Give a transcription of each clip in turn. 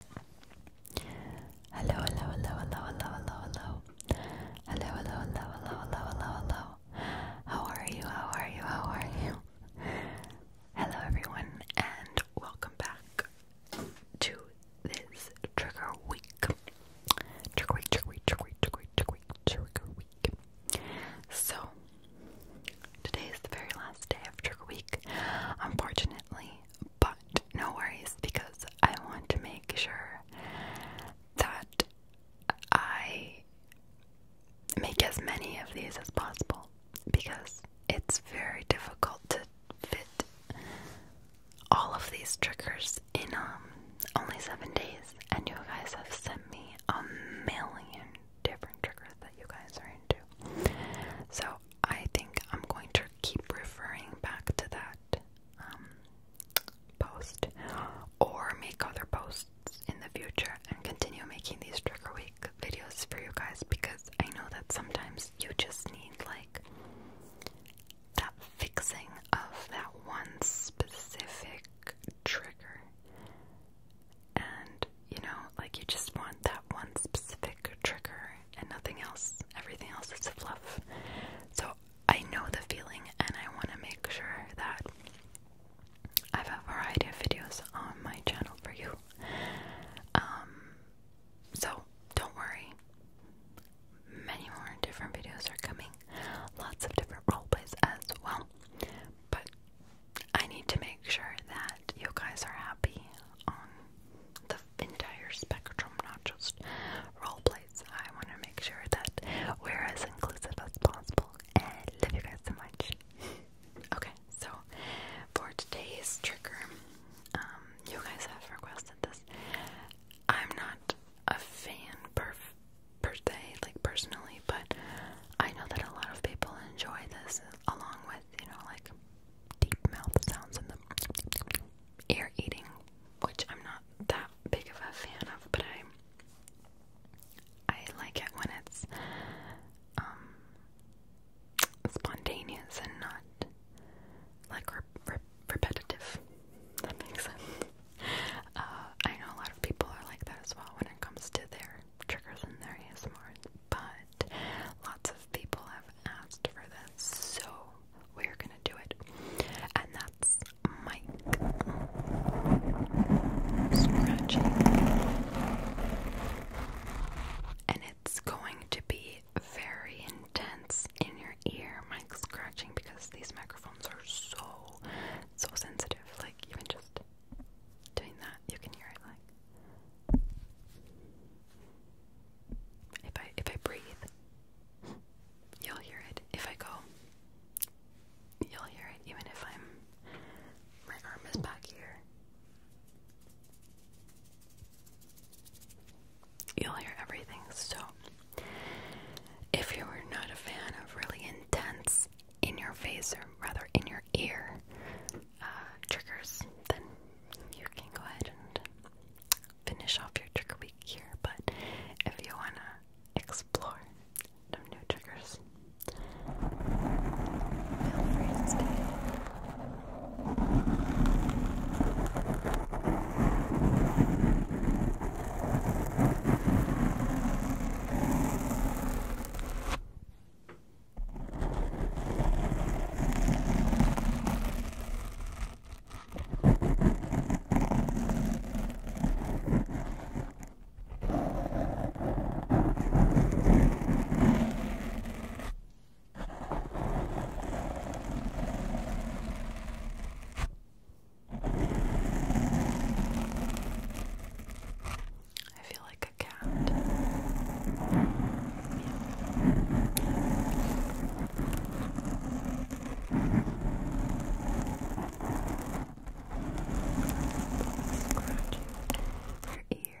Hello, hello, hello, hello, hello, hello, hello. Hello, hello, hello, hello, hello, hello, hello. How are you? How are you? How are you? Hello, everyone, and welcome back to this trigger week. Trigger week, trigger week, trigger week, trigger week, trigger week, trigger week. So, today is the very last day of trigger week, unfortunately, but no worries, because I want to make sure that I make as many of these as possible because it's very difficult to fit all of these triggers in um, only seven days, and you guys have sent me a million different triggers that you guys are so I think I'm going to keep referring back to that um, post or make other posts in the future and continue making these trigger week videos for you guys because I know that sometimes you just need like that fixing of that one specific trigger and you know, like you just want that one specific trigger and nothing else. Everything else is fluff. So I know the feeling, and I want to make sure that I have a variety of videos on my channel for you. Um, so don't worry, many more different videos are coming, lots of different role plays as well. But I need to make sure that you guys are happy on the entire spectrum, not just role plays. I want to make sure that we're as inclusive as possible and love you guys so much. okay, so for today's trigger, um, you guys have requested this. I'm not a fan per per se, like personally, but I know that a lot of people enjoy this along with, you know, like deep mouth sounds and the ear eating, which I'm not that big of a fan of, but I I like it when it's um spontaneous and not like re re repetitive. That makes sense. Uh, I know a lot of people are like that as well when it comes to their triggers and their ASMR, but Lots of people have asked for this, so we're gonna do it. And that's Mike scratching. And it's going to be very intense in your ear, Mike scratching, because these microphones are so, so sensitive. Like, even just doing that, you can hear it if I if I breathe, you'll hear it. If I go, you'll hear it. Even if I'm my arm is back here, you'll hear everything. So, if you are not a fan of really intense in your face, or rather in your ear, uh, triggers, then you can go ahead and finish off your trigger week here. But if you want to explore some new triggers, stay. I feel like like a cat. Scratching your ears.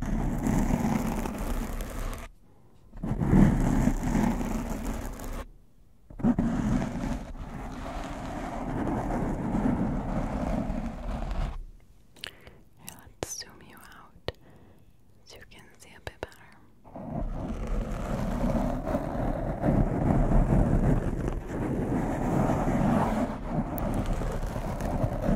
Here, let's zoom you out so you can see a bit better. Good.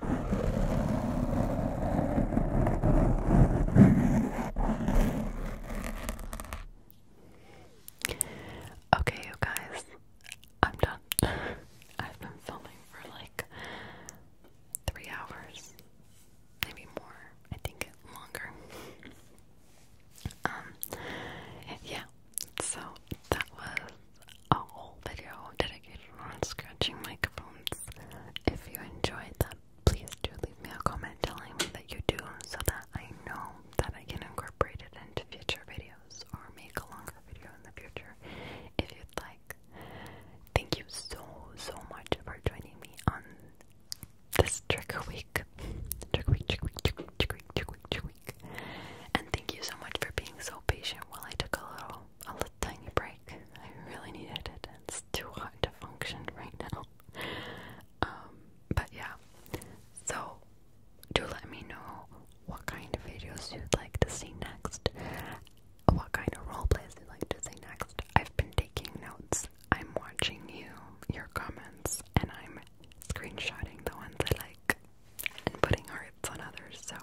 Okay, you guys, I'm done. I've been filming for like three hours, maybe more. I think longer. Um, yeah. So that was a whole video dedicated on scratching microphones. If you enjoyed that, please do leave me a comment telling me that you do so that I know that I can incorporate it into future videos or make a longer video in the future if you'd like. Thank you so, so much for joining me on this trigger week. Trigger week, trigger week, trigger week, trigger week, trigger week, trigger week. And thank you so much for being so patient while I took a little a little tiny break. I really needed it. It's too hot to function right now. Um, but yeah. So do let me know what kind of videos you'd like to see next. What kind of role you'd like to see next. I've been taking notes. I'm watching you, your comments, and I'm screenshotting the ones I like and putting hearts on others. So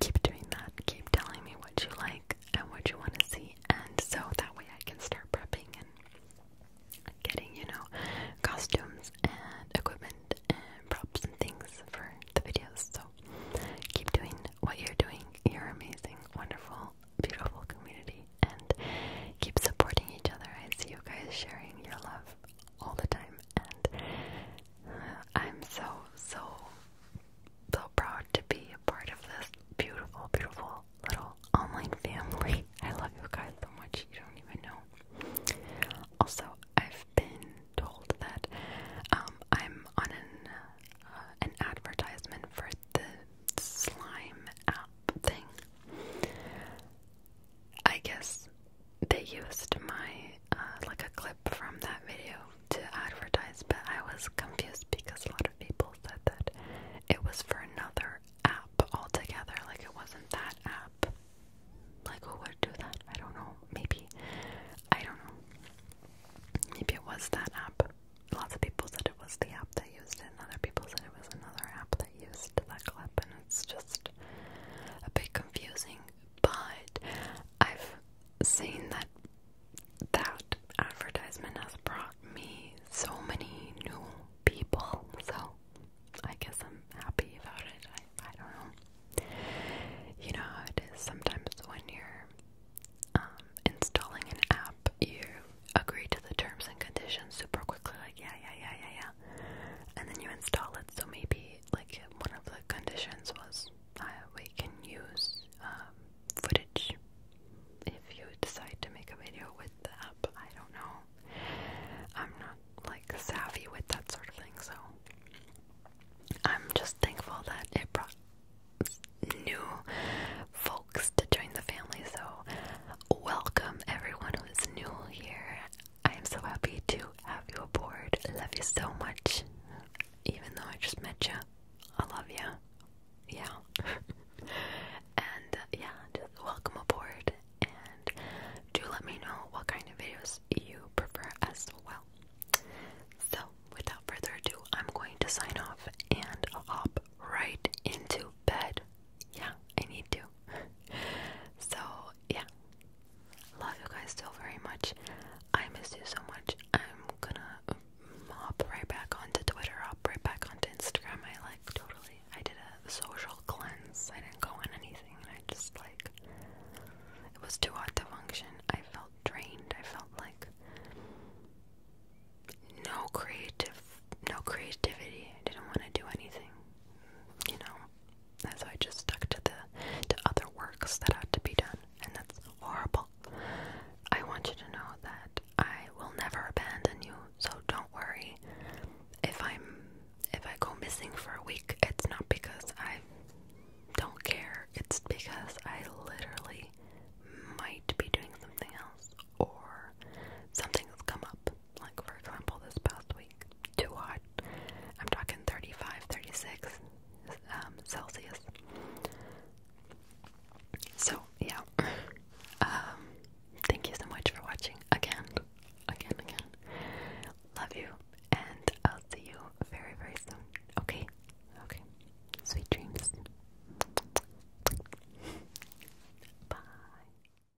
keep doing that. Keep telling me what you like and what you want to see, and so that way I can start prepping and getting, you know, costumes and equipment and props and things for the videos. So keep doing what you're doing. You're amazing, wonderful, beautiful community, and keep supporting each other. I see you guys sharing your love all the time, and I'm so, so, so proud to be a part of this beautiful, beautiful little online family. I love you guys so much, you don't even know. Also, I've been told that um, I'm on an, uh, an advertisement for the slime app thing. I guess they used my, uh, like a clip from that video to advertise, but I was confused because a lot of people said that it was for another app altogether, like it wasn't that app. Like, who would do that? I don't know. Maybe, I don't know. Maybe it was that app. Lots of people said it was the app that used it, and other people said it was another app that used that clip, and it's just a bit confusing but I've seen that that advertisement has brought me so many new people, so I guess I'm happy about it. I, I don't know. You know how it is sometimes when you're um, installing an app, you agree to the terms and conditions super quickly, like, yeah, yeah, yeah, yeah, yeah and then you install it. So maybe like one of the conditions was uh, we can use um, footage if you decide to make a video with the app. I don't know. I'm not like savvy with that sort of thing, so I'm just thankful that it brought new folks to join the family. So welcome everyone who's new here. I am so happy to have you aboard. Love you so much. Even though I just met you, I love you. Yeah. and uh, yeah, welcome aboard. And do let me know what kind of videos you prefer as well. So, without further ado, I'm going to sign off and hop right into bed. Yeah, I need to. so, yeah, Love you guys still very much. I miss you so much. I'm gonna hop right back onto Twitter, hop right back onto Instagram. I like totally, I did a social cleanse. I didn't go on anything I just like, it was too hot to function. I felt drained. I felt like no creative, no creativity. I didn't want to do anything, you know. And so I just stuck to the to other works that had to be done, and that's horrible. I want you to know that I will never abandon you, so don't worry. If I'm if I go missing for a week, it's not because I don't care. It's because I literally might be doing something else or something has come up. Like, for example, this past week, too hot. I'm talking 35, 36 um, Celsius. So, yeah. um, thank you so much for watching again, again, again. Love you, and I'll see you very, very soon. Okay? Okay. Sweet dreams. Bye.